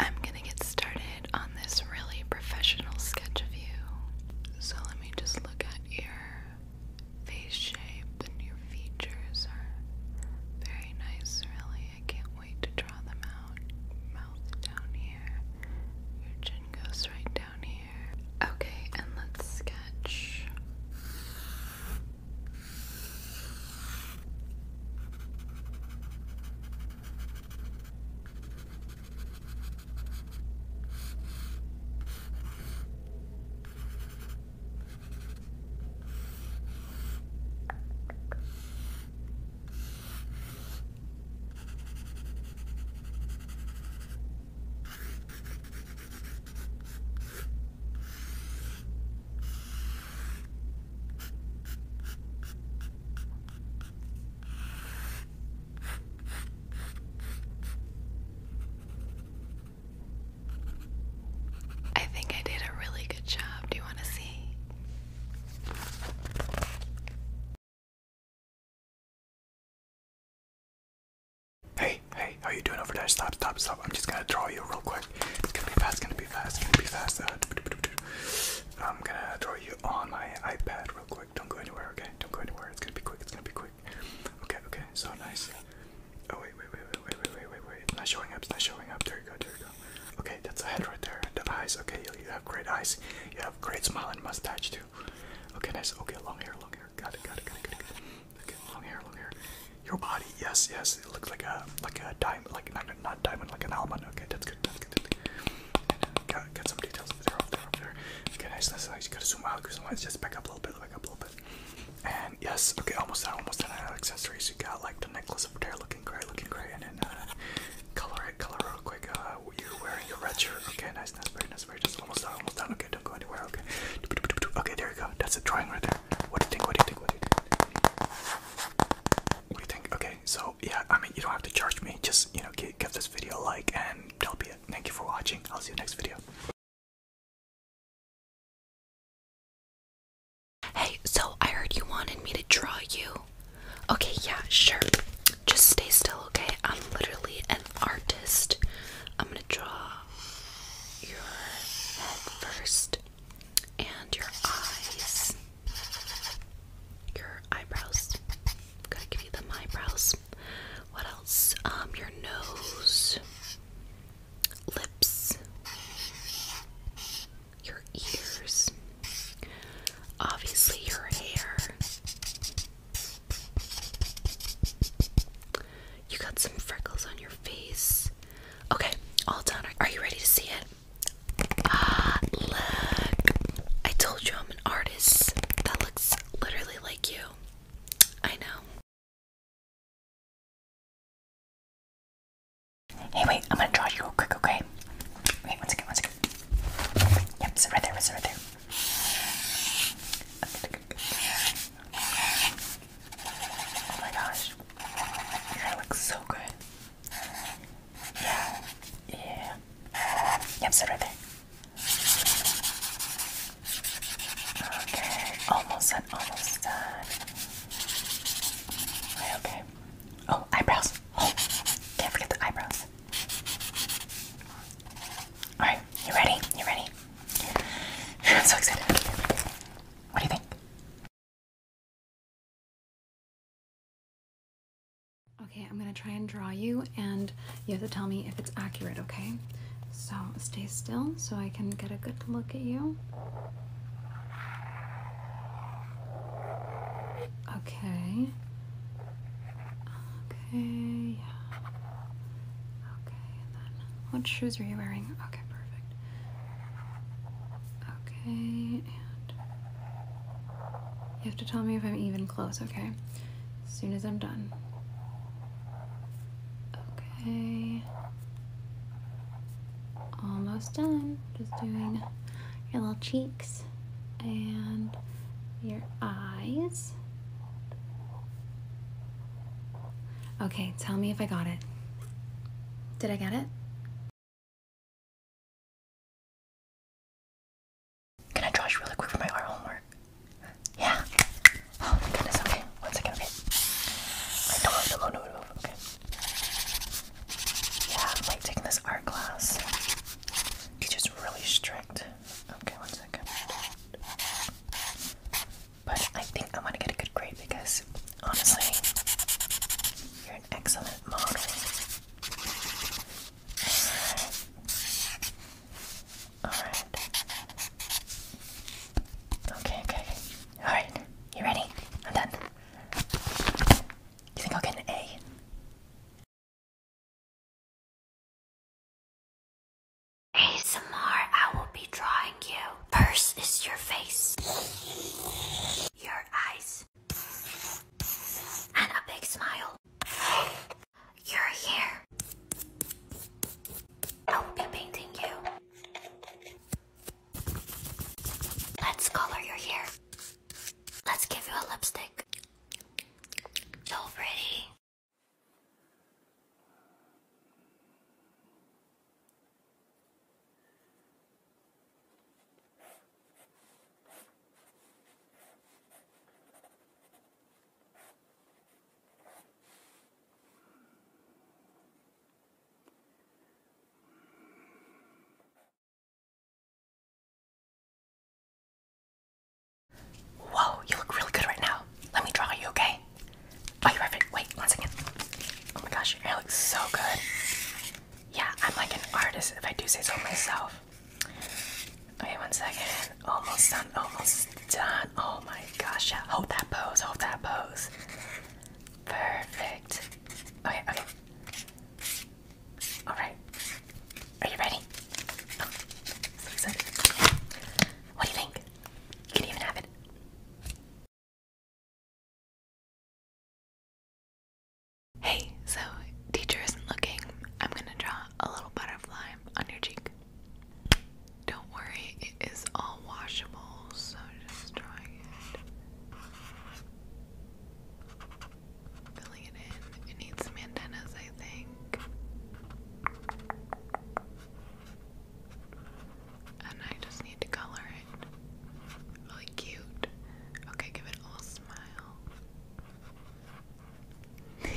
I'm gonna get started on this really professional sketch of you. So let me just look at your face shape and your features are very nice, really. I can't wait to draw them out. Mouth down here. Your chin goes right down here. Okay, and let's sketch. Okay, I think I did a really good job. Do you want to see? Hey, hey, how you doing over there? Stop, stop, stop. I'm just gonna draw you real quick. It's gonna be fast, gonna be fast, gonna be fast. Uh, I'm gonna draw you on my iPad real quick. Don't go anywhere, okay? Don't go anywhere. It's gonna be quick, it's gonna be quick. Okay, okay, so nice. Oh wait, wait, wait, wait, wait, wait, wait, wait, wait. It's not showing up, it's not showing up. There you go, there you go. Okay, that's the head right there. The eyes, okay, you, you have great eyes. You have great smile and mustache too two. Okay, nice. Okay, long hair, long hair. Got it, got it, got it, got it. Got it. Okay, long hair, long hair. Your body, yes, yes. It looks like a like a diamond, like not not diamond, like an almond. Okay, that's good. That's good. Got got some details there, up there, up there. Okay, nice, nice, nice. You gotta zoom out, zoom out. Just back up a little bit, back up a little bit. And yes, okay, almost done, almost done. I have accessories. You got like the necklace up there, looking gray, looking gray, and then uh, color it, color quick. Uh, you wearing your red shirt. Okay, nice, nice, very nice, very nice. Almost done, almost done. Okay, don't go anywhere. Okay. Okay, there you go. That's a drawing right there. What do you think? What do you think? What do you think? Okay, so yeah, I mean, you don't have to charge me. Just you know, give, give this video a like, and that'll be it. Thank you for watching. I'll see you next video. Hey, so I heard you wanted me to draw you. Okay, yeah, sure. Just stay still, okay? I'm literally an artist. I'm gonna draw your head first and your eyes, your eyebrows. Gotta give you the eyebrows. What else? Um, your nose, lips, your ears, obviously, your hair. You got some freckles on your face. Okay, all done. Are you ready to see it? Ah, look. I told you I'm an artist. That looks literally like you. I know. Hey, wait, I'm gonna draw you real quick, okay? Wait, one second, one second. Yep, it's right there, it's right there. Oh my gosh. Your hair looks so good. Yeah. Yeah. Yep, sit right there. Okay, almost done, almost done. okay. Oh, eyebrows. Oh, can't forget the eyebrows. Alright, you ready? You ready? I'm so excited. What do you think? Okay, I'm gonna try and draw you, and you have to tell me if it's accurate, okay? So stay still so I can get a good look at you. Okay. Okay, yeah. Okay, what shoes are you wearing? Okay, perfect. Okay, and you have to tell me if I'm even close, okay? As soon as I'm done. Okay. Almost done. Just doing your little cheeks and your eyes. Okay, tell me if I got it. Did I get it? Can I draw you really quick for my art homework? Yeah. Oh my goodness, okay. One second, okay. I don't have the loan to move, okay. Yeah, I'm like taking this art class. just really strict. Okay, one second. But I think I am going to get a good grade because honestly, you're an excellent model. Alright. Okay, okay, Alright. You ready? I'm done. You think I'll get an A? ASMR, I will be drawing you. First is your face, your eyes, and a big smile. You're here. I will be painting you. Let's color your hair. Let's give you a lipstick. So pretty. Whoa, you look really good right now. Let me draw you, okay? Oh, you're perfect. Wait, one second. Oh my gosh, your hair looks so good. Yeah, I'm like an artist if I do say so myself. Okay, one second. Almost done. Almost done. Oh my gosh! Yeah. Hold that pose. Hold that pose. Perfect. Okay. Okay. All right. Are you ready? Oh, what do you think? can even have it. Hey, so teacher isn't looking. I'm gonna draw a little butterfly on your cheek. Don't worry, it is all washable, so just drawing it, filling it in. It needs some antennas, I think. And I just need to color it. Really cute. Okay, give it a little smile. oh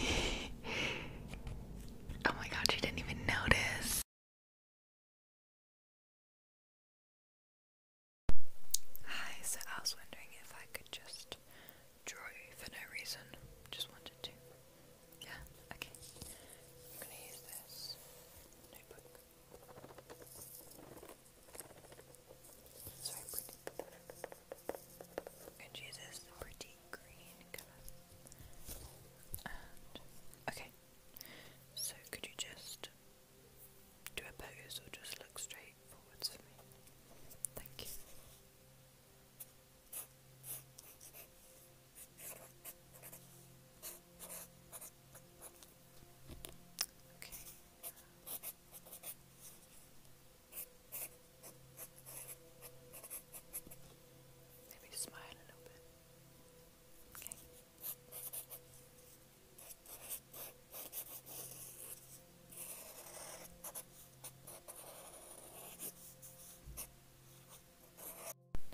my god, she didn't even notice. Hi, so I was wondering if I could just draw you for no reason. Just wanted to. Yeah, okay. I'm gonna use this notebook. It's very pretty. green okay. So could you just do a pose or just look straight forwards for me? Thank you. Okay. Maybe smile a little bit. Okay.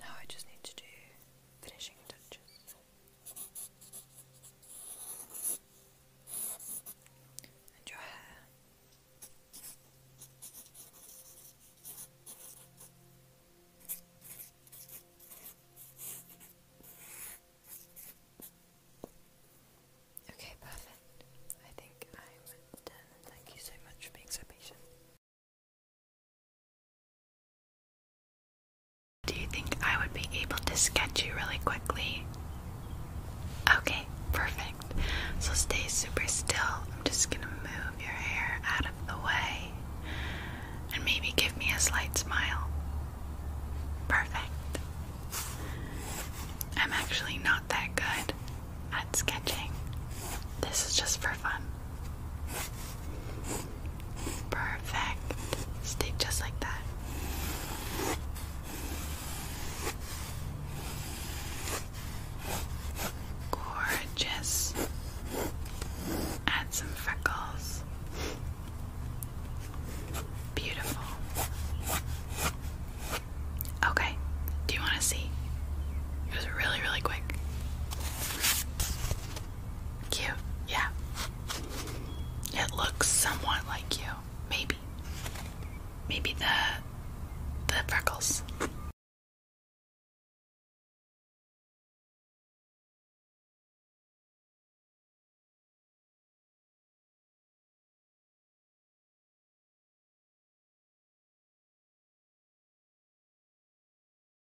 Now I just need to do finishing touches your hair. Okay, perfect. I think I'm done. Thank you so much for being so patient. Do you think I would be able to sketch you really quickly? Okay, perfect. So stay super still. I'm just gonna move your hair out of the way and maybe give me a slight smile. Perfect. I'm actually not that good at sketching, this is just for fun. Perfect. Stick just like that. Gorgeous. Add some freckles. Beautiful. Okay, do you want to see? It was really, really quick. Cute, yeah. It looks somewhat like you. Maybe. Maybe the the freckles.